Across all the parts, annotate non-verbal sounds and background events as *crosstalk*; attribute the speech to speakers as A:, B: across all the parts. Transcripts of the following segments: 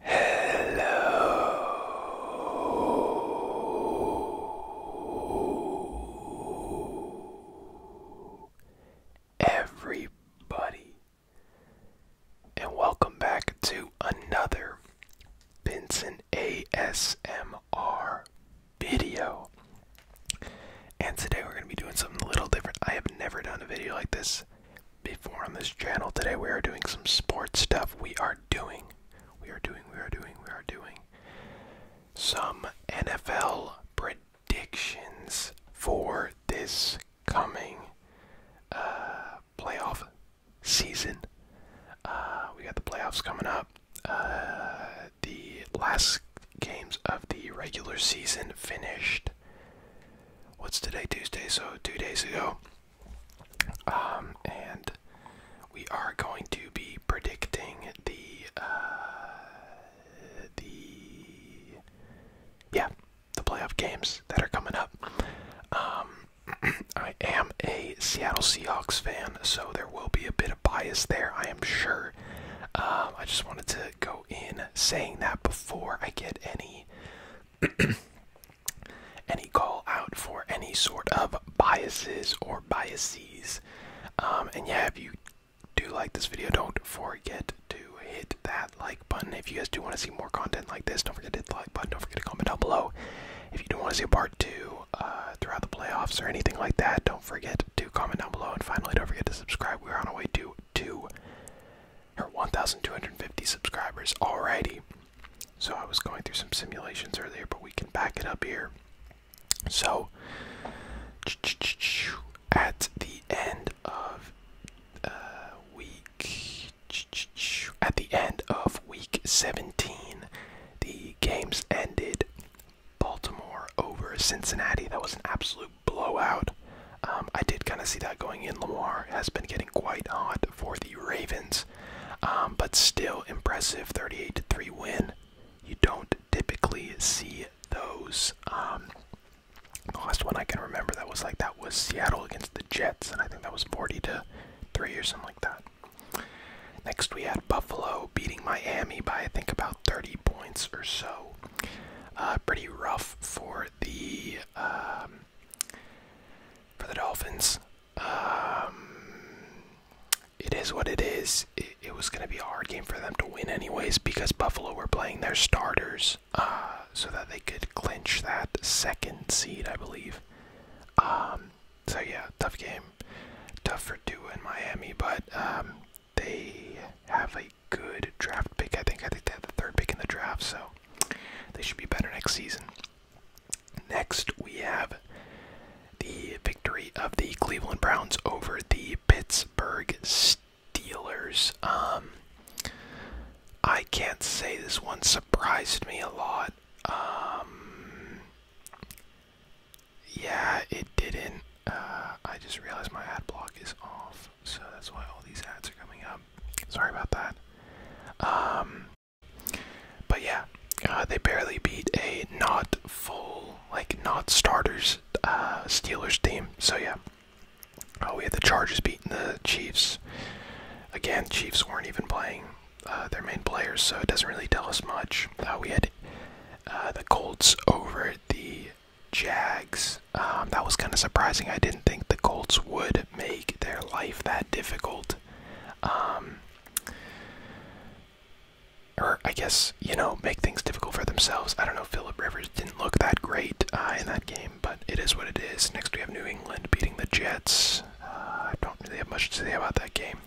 A: Hello, everybody, and welcome back to another Benson ASMR video. And today we're going to be doing something a little different. I have never done a video like this before on this channel today we are doing some sports stuff we are doing we are doing we are doing we are doing some nfl predictions for this coming uh, playoff season uh, we got the playoffs coming up uh, the last games of the regular season finished what's today Tuesday so two days ago um and we are going to be predicting the uh the yeah the playoff games that are coming up um *clears throat* I am a Seattle Seahawks fan so there will be a bit of bias there I am sure um I just wanted to go in saying that before I get any *clears throat* any call out for any sort of biases or biases. Um, and yeah, if you do like this video, don't forget to hit that like button. If you guys do want to see more content like this, don't forget to like button. Don't forget to comment down below. If you do want to see a part two uh, throughout the playoffs or anything like that, don't forget to comment down below. And finally, don't forget to subscribe. We're on our way to 2 her 1,250 subscribers already. So I was going through some simulations earlier, but we can back it up here. So at the end of uh, week, at the end of week 17, the games ended. Baltimore over Cincinnati. That was an absolute blowout. Um, I did kind of see that going in. Lamar has been getting quite odd for the Ravens, um, but still impressive 38 to 3 win. You don't typically see those. Um, the last one I can remember that was like that was Seattle against the Jets, and I think that was 40 to 3 or something like that. Next, we had Buffalo beating Miami by I think about 30 points or so. Uh, pretty rough for the um, for the Dolphins. Um, it is what it is. It, was going to be a hard game for them to win, anyways, because Buffalo were playing their starters uh, so that they could clinch that second seed, I believe. Um, so, yeah, tough game. Tough for Tua and Miami, but they have a good draft pick. I think I think they had the third pick in the draft, so they should be better next season. Next, we have the victory of the Cleveland Browns over the Pittsburgh Steelers. Um, I can't say this one surprised me a lot. Um, yeah, it didn't. Uh, I just realized my ad block is off so that's why all these ads are coming up. Sorry about that. Um, but yeah, uh, they barely beat a not full, like not starters uh, Steelers team. So yeah, uh, we had the Chargers beating the Chiefs. Again, Chiefs weren't even playing uh, their main players, so it doesn't really tell us much. Uh, we had uh, the Colts over the Jags. Um, that was kind of surprising. I didn't think the Colts would make their life that difficult. Um, or I guess you know make things difficult for themselves. I don't know. Philip Rivers didn't look that great uh, in that game, but it is what it is. Next we have New England beating the Jets. Uh, I don't really have much to say about that game.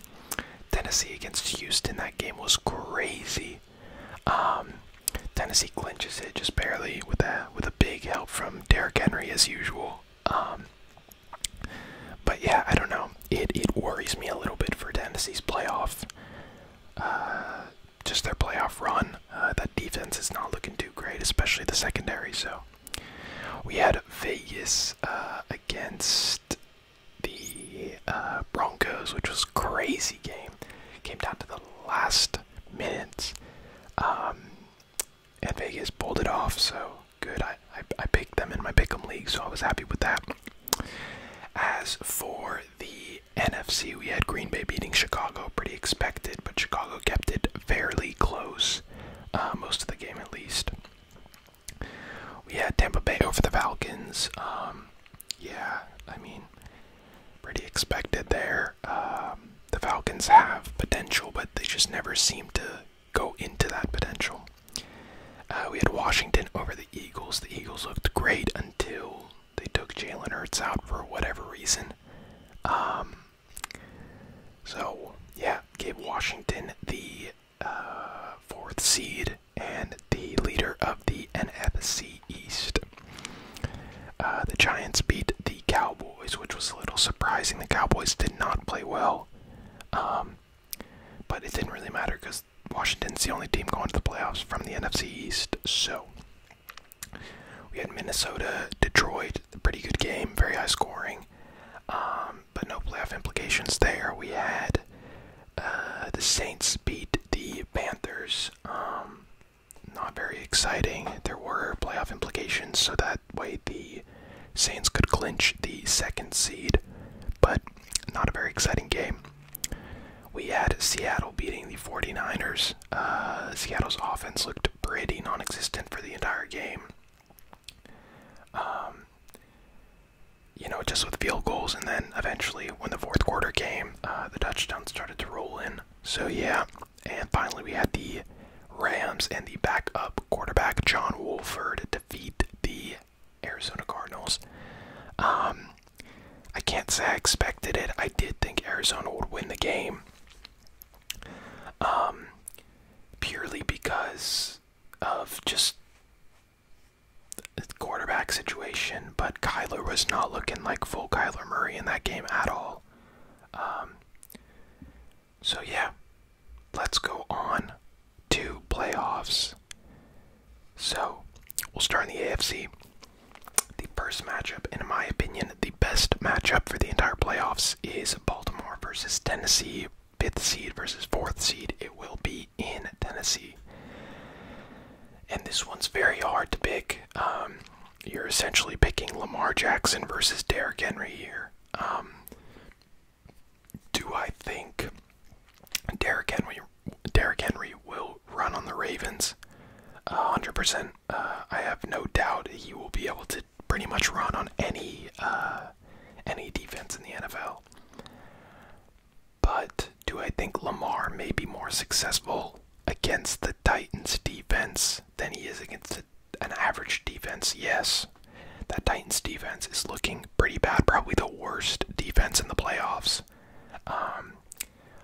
A: Tennessee against Houston. That game was crazy. Um, Tennessee clinches it just barely with a with a big help from Derrick Henry as usual. Um, but yeah, I don't know. It it worries me a little bit for Tennessee's playoff, uh, just their playoff run. Uh, that defense is not looking too great, especially the secondary. So we had Vegas uh, against the Broncos, which was crazy game. Came down to the last minutes. Um, and Vegas pulled it off, so good. I, I, picked them in my pick'em league, so I was happy with that. As for the NFC, we had Green Bay beating Chicago, pretty expected, but Chicago kept it fairly close, uh, most of the game at least. We had Tampa Bay over the Falcons. Um, yeah, I mean, pretty expected there. Um, the Falcons have potential, but they just never seem to go into that potential. Uh, we had Washington over the Eagles. The Eagles looked great until they took Jalen Hurts out for whatever reason. Um, so, yeah, gave Washington the uh, fourth seed and the leader of the NFC East. Uh, the Giants beat the Cowboys, which was a little surprising. The Cowboys did not play well, um, but it didn't really matter because Washington's the only team going to the playoffs from the NFC East. So we had Minnesota, Detroit, pretty good game, very high scoring, um, but no playoff implications there. We had uh, the Saints beat the Panthers. Um, not very exciting. There were playoff implications, so that way the Saints could clinch the second seed, but not a very exciting game. We had Seattle beating the 49ers. Uh, Seattle's offense looked pretty non existent for the entire game. Um, you know, just with field goals, and then eventually, when the fourth quarter came, uh, the touchdowns started to roll in. So, yeah, and finally, we had the Rams and the backup quarterback John Wolford defeat the Arizona Cardinals. Um, I can't say I expected it. I did think Arizona would win the game, um, purely because of just the quarterback situation. But Kyler was not looking like full Kyler Murray in that game at all. Um, so, yeah, let's go on to playoffs. So, we'll start in the AFC. The first matchup, in my opinion, the best matchup for the entire playoffs is Baltimore versus Tennessee, fifth seed versus fourth seed. It will be in Tennessee. And this one's very hard to pick. Um, you're essentially picking Lamar Jackson versus Derrick Henry here. Um, do I think Derrick Henry, Derrick Henry will run on the Ravens? Uh, 100%. I have no doubt he will be able to pretty much run on any uh, any defense in the NFL. But do I think Lamar may be more successful against the Titans defense offense than he is against an average defense. Yes, that Titans defense is looking pretty bad, probably the worst defense in the playoffs. Um,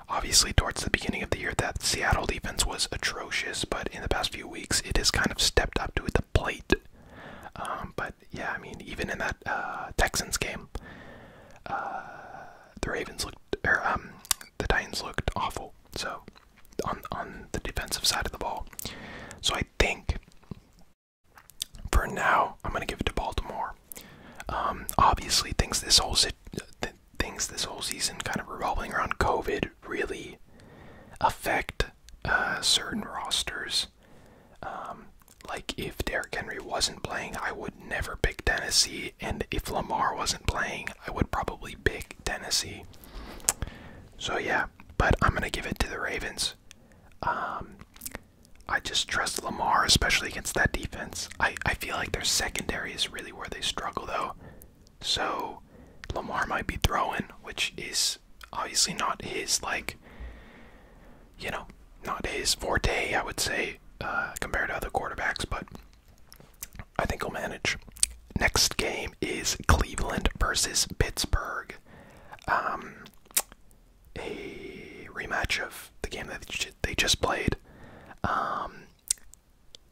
A: obviously, towards the beginning of the year, that Seattle defense was atrocious, but in the past few weeks, it has kind of stepped up to the plate. Um, but yeah, I mean, even in that uh, Texans game, uh, the Ravens looked, er, um, the Titans looked awful. So on on the defensive side of the ball. So I think for now I'm gonna give it to Baltimore. Um, obviously, things this whole si things this whole season kind of revolving around COVID really affect uh, certain rosters. Um, like if Derrick Henry wasn't playing, I would never pick Tennessee and if Lamar wasn't playing, I would probably pick Tennessee. So yeah, but I'm gonna give it to the Ravens. Um, I just trust Lamar, especially against that defense. I I feel like their secondary is really where they struggle though. So Lamar might be throwing, which is obviously not his like. You know, not his forte, I would say, uh, compared to other quarterbacks, but I think i will manage. Next game is Cleveland versus Pittsburgh. Um, a rematch of the game that they just played. Um,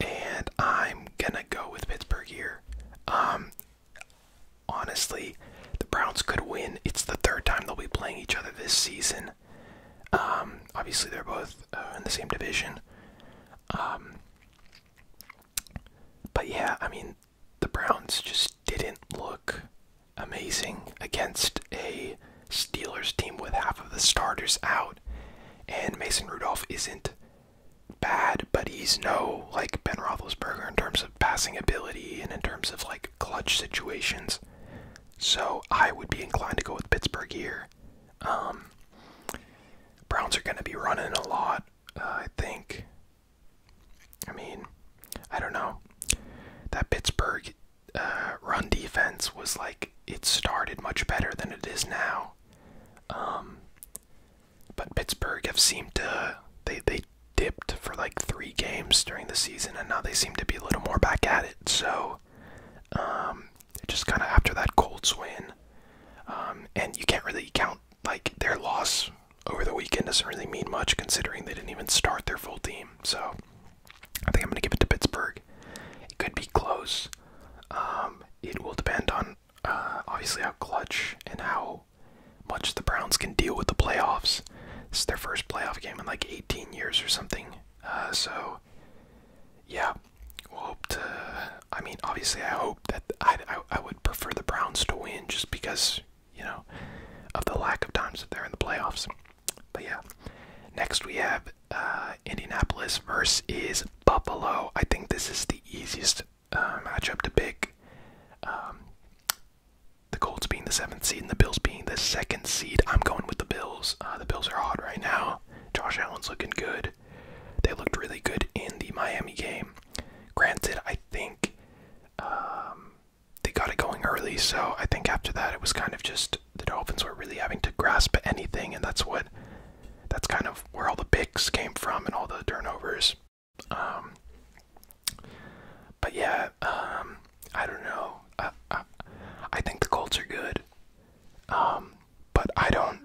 A: and I'm gonna go with Pittsburgh here. Um, honestly, the Browns could win. It's the third time they'll be playing each other this season. obviously, they're both uh, in the same division. Um, but yeah, I mean, the Browns just didn't look amazing against a Steelers team with half of the starters out, and Mason Rudolph isn't bad, but he's no like Ben Roethlisberger in terms of passing ability and in terms of like clutch situations. So I would be inclined to go with Pittsburgh here. Um, Browns are going to be running a lot, uh, I think. I mean, I don't know. That Pittsburgh uh, run defense was like it started much better than it is now. Um, but Pittsburgh have seemed to they they dipped for like three games during the season, and now they seem to be a little more back at it. So, um, just kind of after that cold win. Um, and you can't really count, like, their loss over the weekend doesn't really mean much considering they didn't even start their full team. So I think I'm going to give it to Pittsburgh. It could be close. Um, it will depend on uh, obviously how clutch and how much the Browns can deal with the playoffs. This is their first playoff game in like 18 years or something. Uh, so yeah, I mean, obviously, I hope that I, I would prefer the Browns to win just because you know of the lack of times that they're in the playoffs. But yeah, next we have uh, Indianapolis versus Buffalo. I think this is the easiest uh, matchup to pick. Um, the Colts being the seventh seed and the Bills being the second seed. I'm going with the Bills. Uh, the Bills are hot right now. Josh Allen's looking good. They looked really good in the Miami game. Granted, I think um, they got it going early, so I think after that it was kind of just the Dolphins were really having to grasp at anything, and that's what that's kind of where all the picks came from and all the turnovers. Um, but yeah, um, I don't know. I, think the Colts are good, but I don't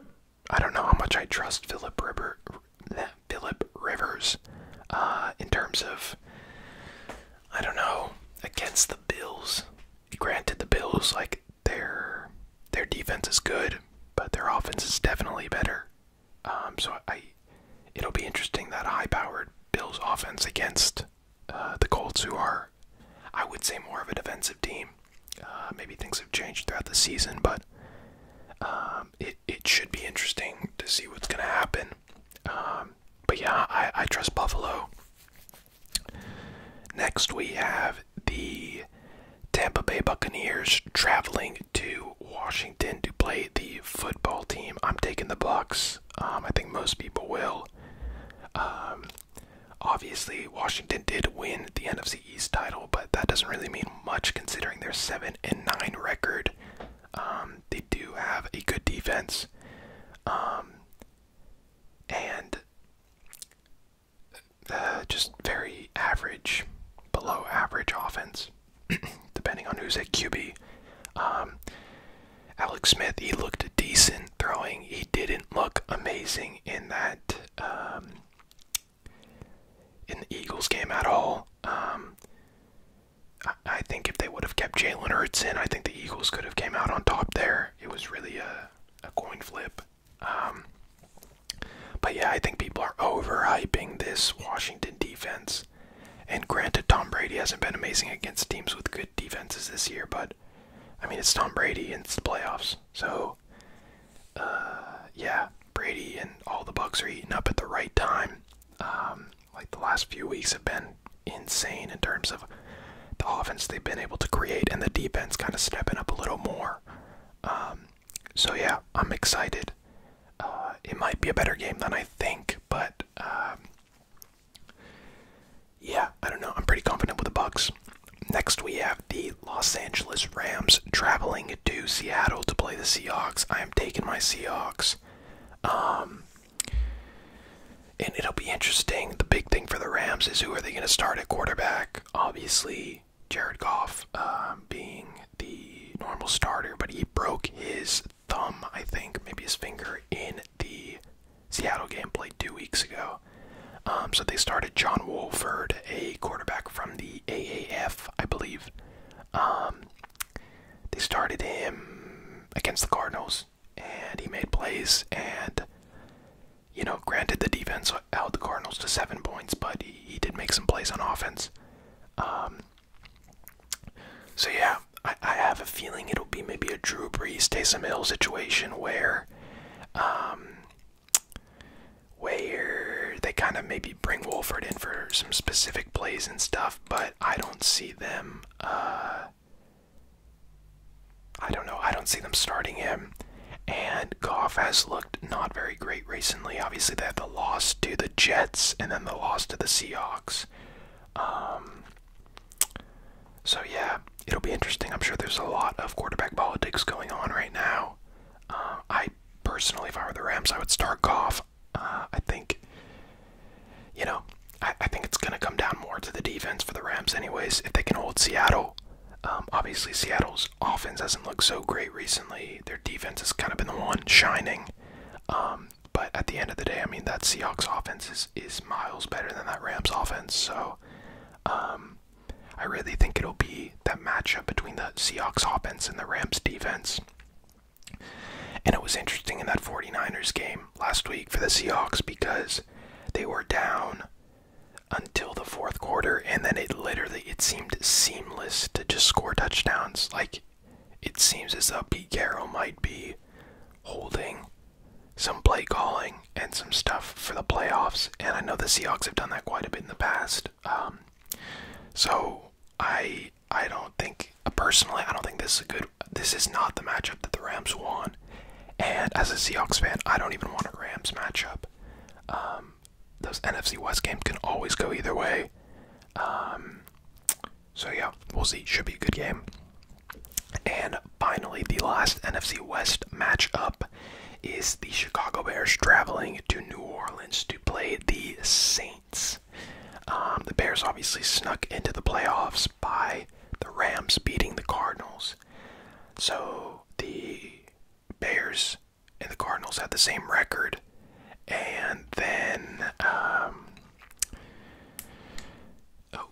A: I don't know how much I trust Philip River, Philip Rivers, uh, in terms of I don't know against the Bills. Granted, the Bills like their their defense is good, but their offense is definitely better. Um, so I, it'll be interesting that high-powered Bills offense against uh, the Colts, who are, I would say, more of a defensive team. Uh, maybe things have changed throughout the season, but um, it it should be interesting to see what's gonna happen. Um, but yeah, I, I trust Buffalo. Next, we have the Tampa Bay Buccaneers traveling to Washington to play the football team. I'm taking the Bucks. Um, I think most people will. Obviously, Washington did win the NFC East title, but that doesn't really mean much considering their 7 and 9 record. Um, they do have a good defense. Um, and uh, just very average, below average offense, *clears throat* depending on who's at QB. Um, Alex Smith, he looked decent throwing. He didn't look amazing in that in the Eagles game at all. Um, I, think if they would have kept Jalen Hurts in, I think the Eagles could have came out on top there. It was really a, a coin flip. Um, but yeah, I think people are overhyping this Washington defense. And granted, Tom Brady hasn't been amazing against teams with good defenses this year, but I mean, it's Tom Brady in the playoffs. So uh, yeah, Brady and all the Bucks are eating up at the right time. Um, like the last few weeks have been insane in terms of the offense they've been able to create and the defense kind of stepping up a little more. Um, so yeah, I'm excited. Uh, it might be a better game than I think, but um, yeah, I don't know. I'm pretty confident with the Bucks. Next, we have the Los Angeles Rams traveling to Seattle to play the Seahawks. I am taking my Seahawks. Um, and it'll be interesting. The big thing for the Rams is who are they going to start at quarterback? Obviously, Jared Goff um, being the normal starter, but he broke his thumb, I think, maybe his finger in the Seattle game played two weeks ago. Um, so they started John Wolford, a quarterback from the AAF, I believe. Um, they started him against the Cardinals, and he made plays. And you know, granted, the defense held the Cardinals to seven points, but he, did make some plays on offense. Um, so yeah, I, have a feeling it'll be maybe a Drew Brees, Taysom Hill situation where where they kind of maybe bring Wolford in for some specific plays and stuff, but I don't see them. Uh, I don't know. I don't see them starting him. And Goff has looked not very great recently. Obviously, they had the loss to the Jets and then the loss to the Seahawks. Um, so, yeah, it'll be interesting. I'm sure there's a lot of quarterback politics going on right now. Um, I personally, if I were the Rams, I would start Goff. Uh, I think, you know, I, think it's going to come down more to the defense for the Rams, anyways. If they can hold Seattle, um, obviously Seattle's offense hasn't looked so great recently. Their defense has kind of been the one shining. Um, but at the end of the day, I mean, that Seahawks offense is, is miles better than that Rams offense. So, I really think it'll be that matchup between the Seahawks offense and the Rams defense. And it was interesting in that 49ers game last week for the Seahawks because they were down until the fourth quarter and then it literally it seemed seamless to just score touchdowns. Like it seems as though Pete Carroll might be holding some play calling and some stuff for the playoffs. And I know the Seahawks have done that quite a bit in the past. Um, so I I don't think personally I don't think this is a good. This is not the matchup that the Rams won. And as a Seahawks fan, I don't even want a Rams matchup. Um, those NFC West games can always go either way. Um, so yeah, we'll see. Should be a good game. And finally, the last NFC West matchup is the Chicago Bears traveling to New Orleans to play the Saints. Um, the Bears obviously snuck into the playoffs by the Rams beating the Cardinals. So the Bears and the Cardinals had the same record. And then, um, oh,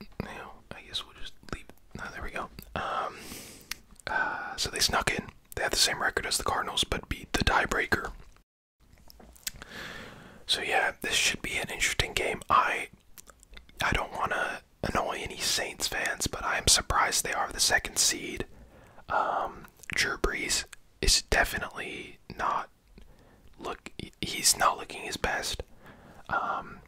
A: I guess we'll just leave. there we go. Um, uh, so they snuck in. They had the same record as the Cardinals, but beat the tiebreaker. So yeah, this should be an interesting game. I I don't want to annoy any Saints fans, but I am surprised they are the second seed. Um, Drew Brees is definitely not look. He's not looking his best. Um,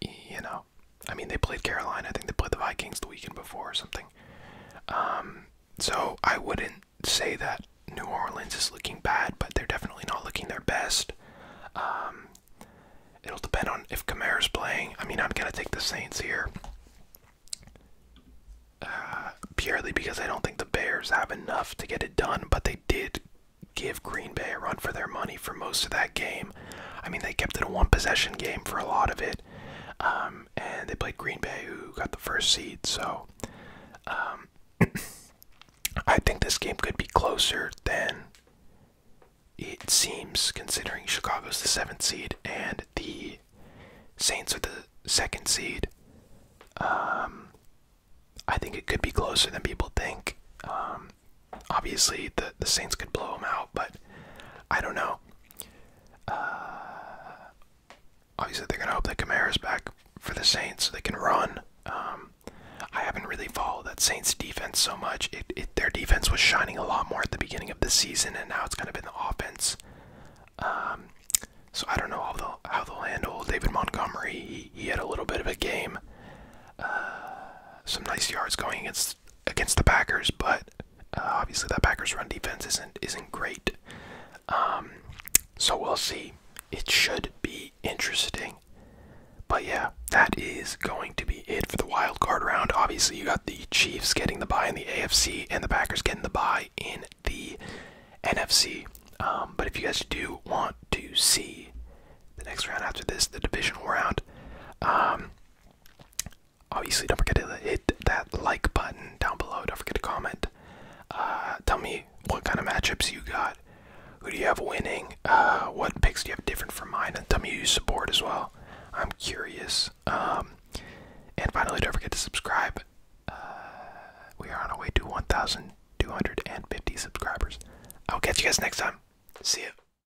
A: you know, I mean, they played Carolina. I think they played the Vikings the weekend before or something. Um, so I wouldn't say that New Orleans is looking bad, but they're definitely not looking their best. Um, it'll depend on if is playing. I mean, I'm gonna take the Saints here uh, purely because I don't think the Bears have enough to get it done, but they did give Green Bay a run for their money for most of that game. I mean, they kept it a one possession game for a lot of it, um, and they played Green Bay, who got the first seed. So, um, *clears throat* I think this game could be closer than it seems, considering Chicago's the seventh seed and the Saints are the second seed. Um, I think it could be closer than people think obviously the the Saints could blow them out, but I don't know. Uh, obviously they're gonna hope that Kamara's back for the Saints so they can run. Um, I haven't really followed that Saints defense so much. It, it their defense was shining a lot more at the beginning of the season, and now it's kind of been the offense. Um, so I don't know how they'll how they'll handle David Montgomery. He, he had a little bit of a game. Uh, some nice yards going against against the Packers, but uh, obviously that Packers run defense isn't isn't great. Um, so we'll see. It should be interesting. But yeah, that is going to be it for the wild card round. Obviously, you got the Chiefs getting the bye in the AFC and the Packers getting the bye in the NFC. Um, but if you guys do want to see the next round after this, the divisional round, um, Obviously, don't forget to hit that like button down below. Don't forget to comment. Uh, tell me what kind of matchups you got. Who do you have winning? Uh, what picks do you have different from mine? And tell me who you support as well. I'm curious. Um, and finally, don't forget to subscribe. Uh, we are on our way to 1,250 subscribers. I'll catch you guys next time. See ya.